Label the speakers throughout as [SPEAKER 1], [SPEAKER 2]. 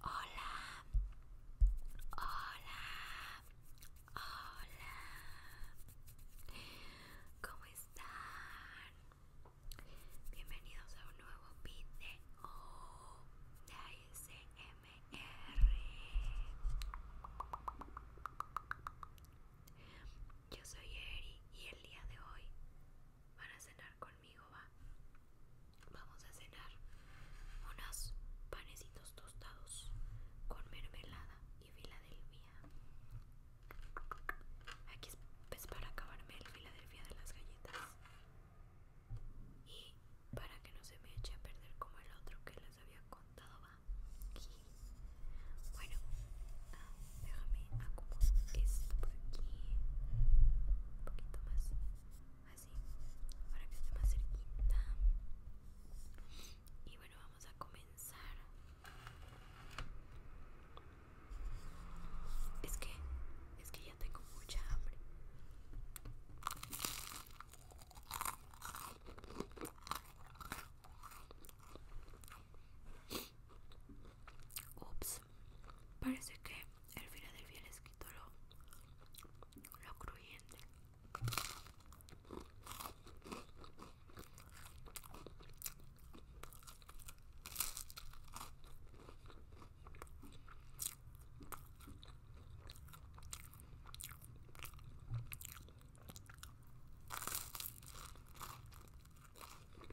[SPEAKER 1] Hola, hola, hola. ¿Cómo están? Bienvenidos a un nuevo video de ASMR. Yo soy Eri y el día de hoy van a cenar con Vamos a cenar unos panecitos tostados con mermelada y Filadelfia. Aquí es pues, para acabarme el Filadelfia de las galletas. Y para que no se me eche a perder como el otro que les había contado, va. Bueno, ah, déjame acomodar esto aquí. Un poquito más así para que esté más cerquita y bueno vamos a comenzar es que es que ya tengo mucha hambre ups parece que el del les quitó lo, lo crujiente.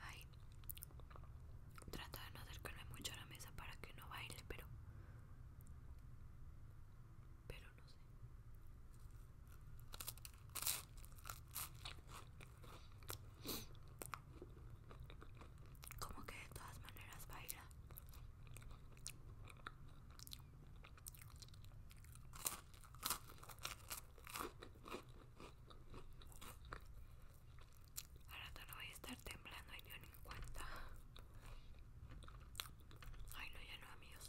[SPEAKER 1] Ay. Trato de no acercarme mucho a la mesa para que no baile, pero... Pero no sé. Como que de todas maneras baila. Ahora todo no voy a estar temblando y yo cuenta. Ay, no, ya no, amigos.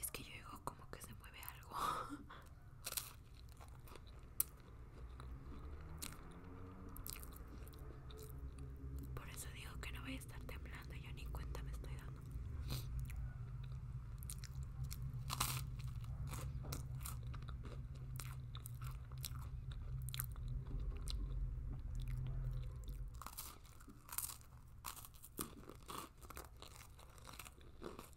[SPEAKER 1] Es que yo digo como que se mueve algo. Por eso digo que no voy a estar temblando, yo ni cuenta me estoy dando.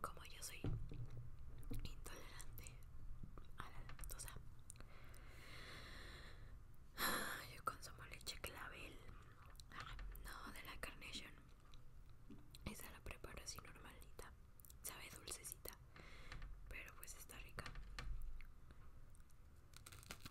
[SPEAKER 1] Como yo soy intolerante a la lactosa, ah, yo consumo leche clavel, ah, no de la Carnation. Esa la preparo así normalita, sabe dulcecita, pero pues está rica.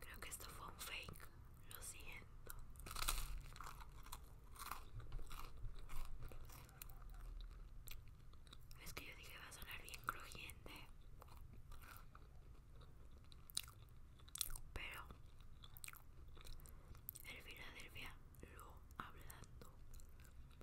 [SPEAKER 1] Creo que esto fue un fake, lo siento. Es que yo dije Que va a sonar bien crujiente. Pero el Filadelfia lo hablando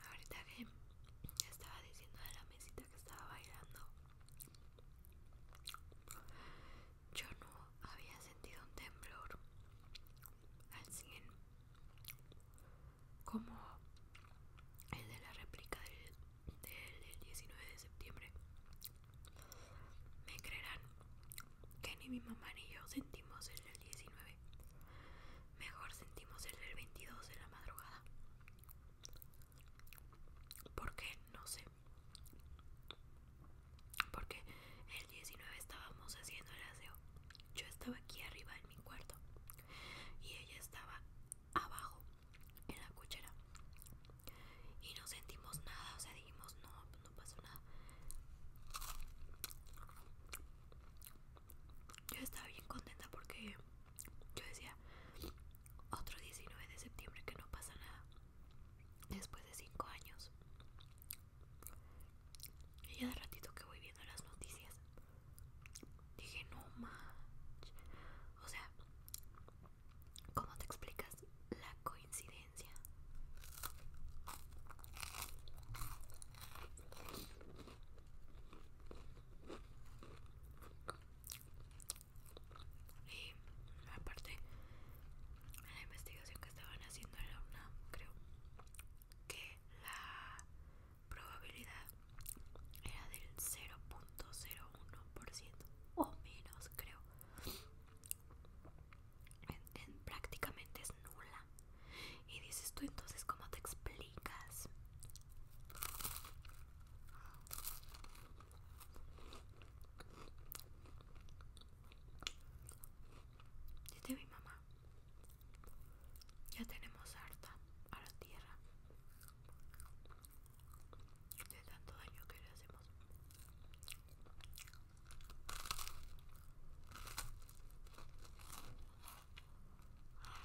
[SPEAKER 1] Ahorita que estaba diciendo de la mesita que estaba bailando yo no había sentido un temblor al 100 como el de la réplica del, del 19 de septiembre me creerán que ni mi mamá ni yo sentimos el del 19 mejor sentimos el del 22 de la madrugada porque no sé. Porque el 19 estábamos haciendo el aseo. Yo estaba aquí arriba en mi cuarto. Y ella estaba abajo en la cuchera Y no sentimos nada. O sea, dijimos, no, pues no pasó nada. Yo estaba bien contenta porque yo decía, otro 19 de septiembre que no pasa nada. Después de 5 años. Y ya de ratito que voy viendo las noticias, dije, no manches. O sea, ¿cómo te explicas la coincidencia? y aparte la investigación que estaban haciendo en la UNAM creo que la probabilidad era del 0.01% o menos creo prácticamente es nula y dices tú entonces cómo te explicas ricas. mi mamá. Ya tenemos harta a la tierra. De tanto daño que le hacemos. Ah,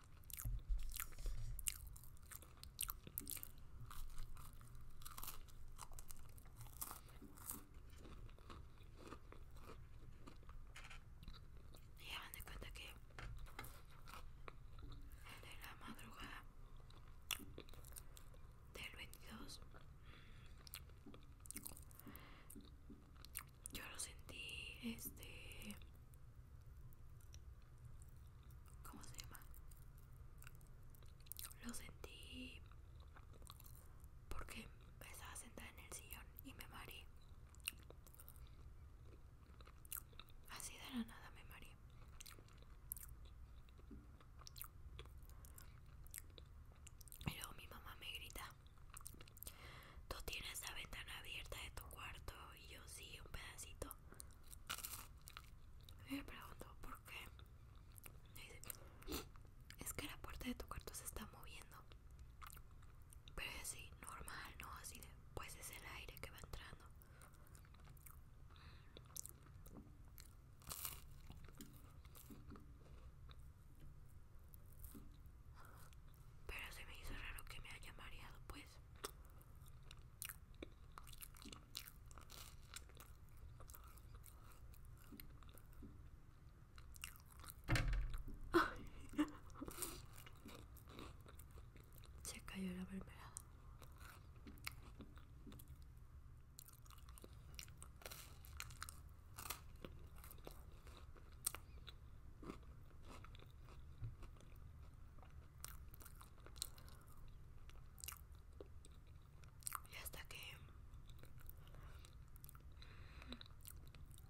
[SPEAKER 1] Y hagan de cuenta que de la madrugada del 22 yo lo sentí este ¿cómo se llama? Lo sentí porque estaba sentada en el sillón y me mareé. Así de la nada me mareé. Y luego mi mamá me grita Tú tienes la ventana abierta de tu cuarto y yo sí, un pedacito. Me pregunto por qué. es que la puerta de tu cuarto se está moviendo. Pero es así, normal, ¿no? Así de, pues es el aire que va entrando. Pero se me hizo raro que me haya mareado, pues. Se cayó la mermelada. Y hasta que,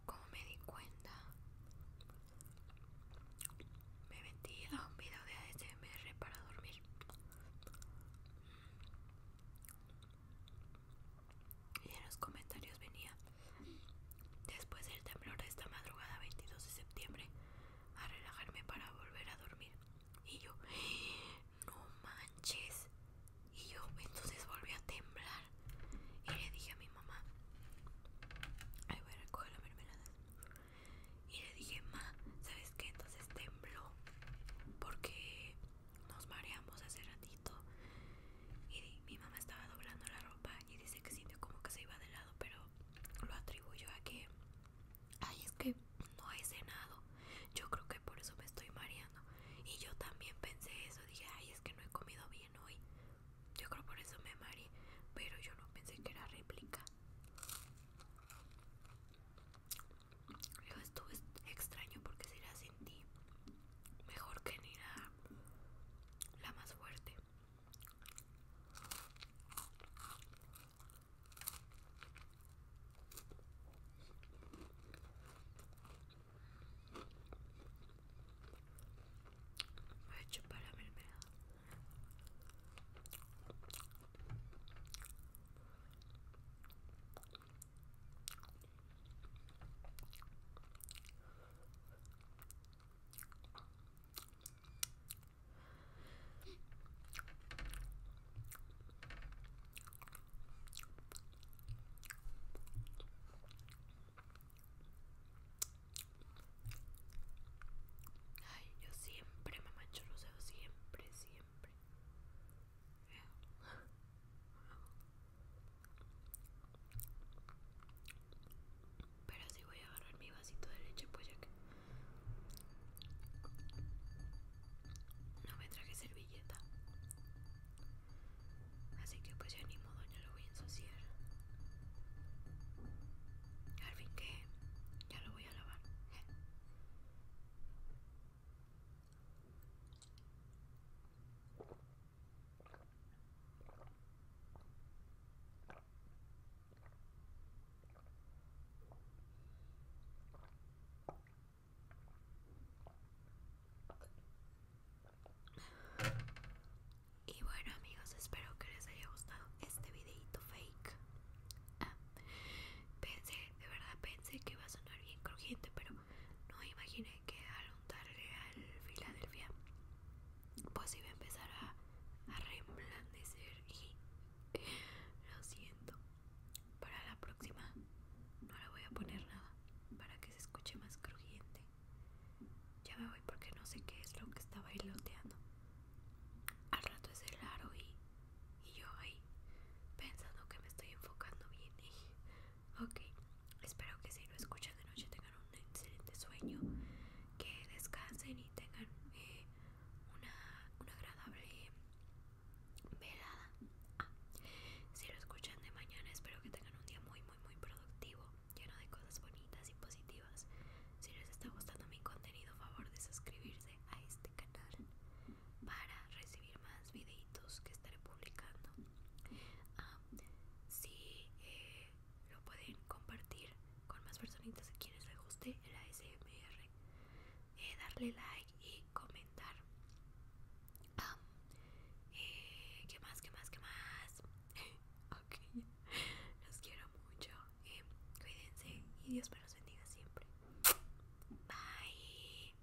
[SPEAKER 1] como me di cuenta, me metí a un video de ASMR para dormir y en los comentarios venía después del temblor de esta madrugada 22 de septiembre a relajarme para volver a dormir y yo no manches y yo entonces volví a temblar y le dije a mi mamá ay voy a recoger la mermelada y le dije ma sabes qué entonces tembló porque nos mareamos hace ratito y mi mamá estaba doblando la ropa y dice que sintió como que se iba de lado, pero lo atribuyó a que, ay, es que no he cenado. Yo creo que por eso me estoy mareando. Y yo también pensé eso, dije, ay, es que no he comido bien hoy. Yo creo por eso me mareé, pero yo no pensé que era réplica. Yo estuve extraño porque si era así Mejor que ni la, la más fuerte. Me he hecho para la mermelada. Ay, yo siempre me mancho los siempre, siempre. Pero si voy a agarrar mi vasito de leche, pues ya que no me traje servilleta. Así que pues ya ni modo, ya lo voy a ensuciar. Al fin que ya lo voy a lavar. Y bueno amigos, espero que les haya gustado este videito fake. Ah, pensé, de verdad pensé que iba a sonar bien crujiente, pero no imaginé que al untarle al Filadelfia, pues iba a empezar a, reblandecer y lo siento. Para la próxima no le voy a poner nada para que se escuche más crujiente. Ya me voy porque no sé qué es lo que estaba loteando Al rato es el aro y, y yo ahí pensando que me estoy enfocando bien Ok, espero que si lo escuchan de noche tengan un excelente sueño, que descansen y tengan eh, una, agradable velada. Ah, si lo escuchan de mañana, espero que tengan un día muy, muy, muy productivo, lleno de cosas bonitas y positivas. Si les está gustando mi contenido, favor de suscribirse a este canal para recibir más videitos que estaré publicando si eh, lo pueden compartir con más personitas a quienes les guste el ASMR eh, darle like y comentar eh, ¿Qué más? ¿Qué más? ¿Qué más? ok, los quiero mucho. cuídense y Dios me los bendiga siempre. Bye.